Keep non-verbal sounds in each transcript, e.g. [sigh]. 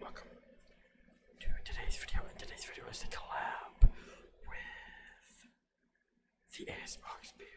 Welcome to today's video. And today's video is a collab with the ASMR experience.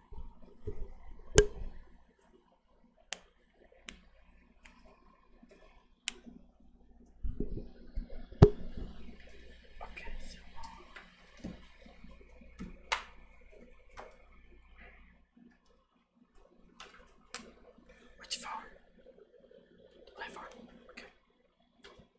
Okay, so which phone? My phone. Okay.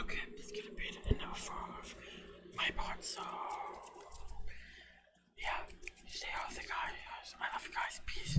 Okay, this could be the enough of my part, so yeah, stay healthy guys. I love you guys, peace.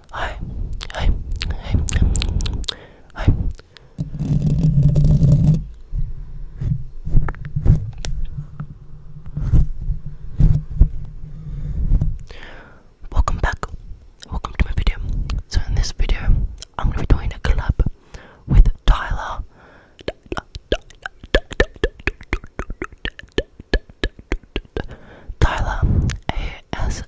Hi. Hi. Hi. Hi. Welcome back. Welcome to my video. So in this video, I'm gonna be doing a collab with Tyler. Tyler ASMR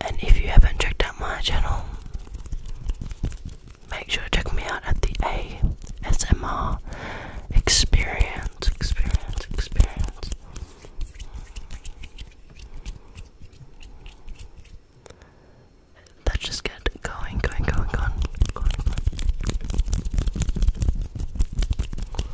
And if you haven't checked out my channel, make sure to check me out at the ASMR Experience, Experience, Experience. Let's just get going, going, going, going, going, going.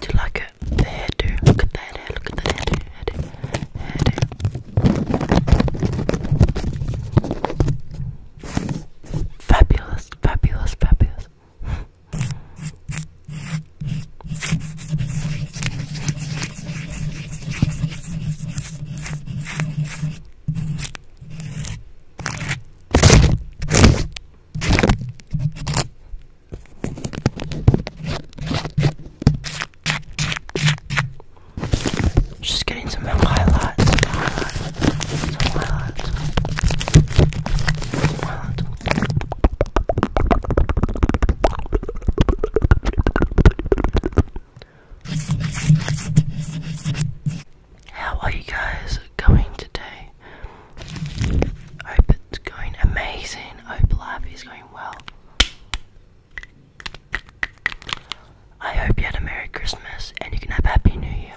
Do you like it? The hairdo. Look at that hair. Look at that hairdo. Hairdo. Hairdo. Fabulous. Fabulous. Fabulous. [laughs] Just getting some highlights. Some highlights. Some highlights. Some highlights. How are you guys going today? I hope it's going amazing. I hope life is going well. I hope you had a Merry Christmas and you can have a Happy New Year.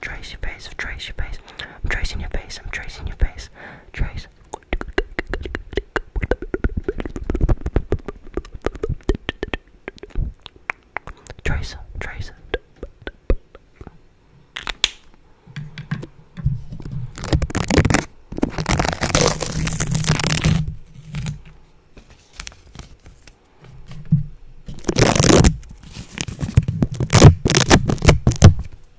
trace your face, trace your face. I'm tracing your face, I'm tracing your face. Trace. Trace, trace.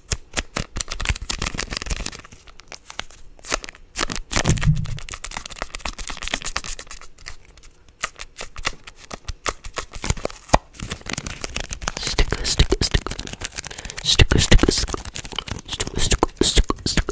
Sticker, sticker, sticker, sticker, sticker, sticker, sticker, sticker, sticker, sticker.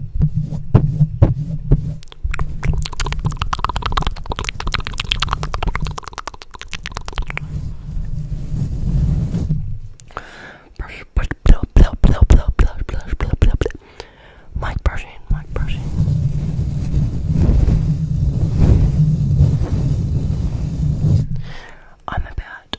Brush, brush, blow, blow, blow, blow, blow, blow, blow, blow, blow. Mic brushing, mic brushing. I'm about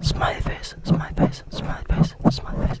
Smiley face, smiley face, smiley face, smiley face.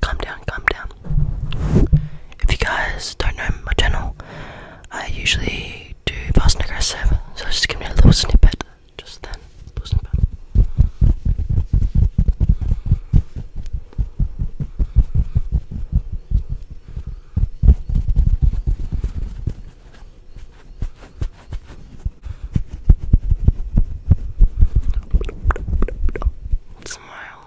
Calm down, calm down if you guys don't know my channel, I usually do fast and aggressive, so just give me a little snippet just then. Little snippet. Smile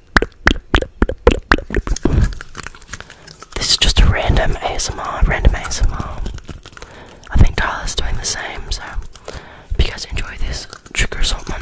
This is just a random ASMR, random ASMR. I think Tyler's doing the same, so if you guys enjoy this, trigger someone.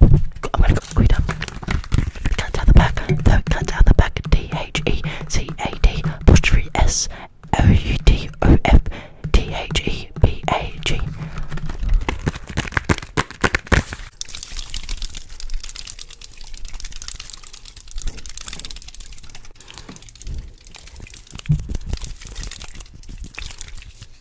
I'm gonna go read up. Cat the back, the cat the back. T H E C A D apostrophe S O U D O F T H E B A G.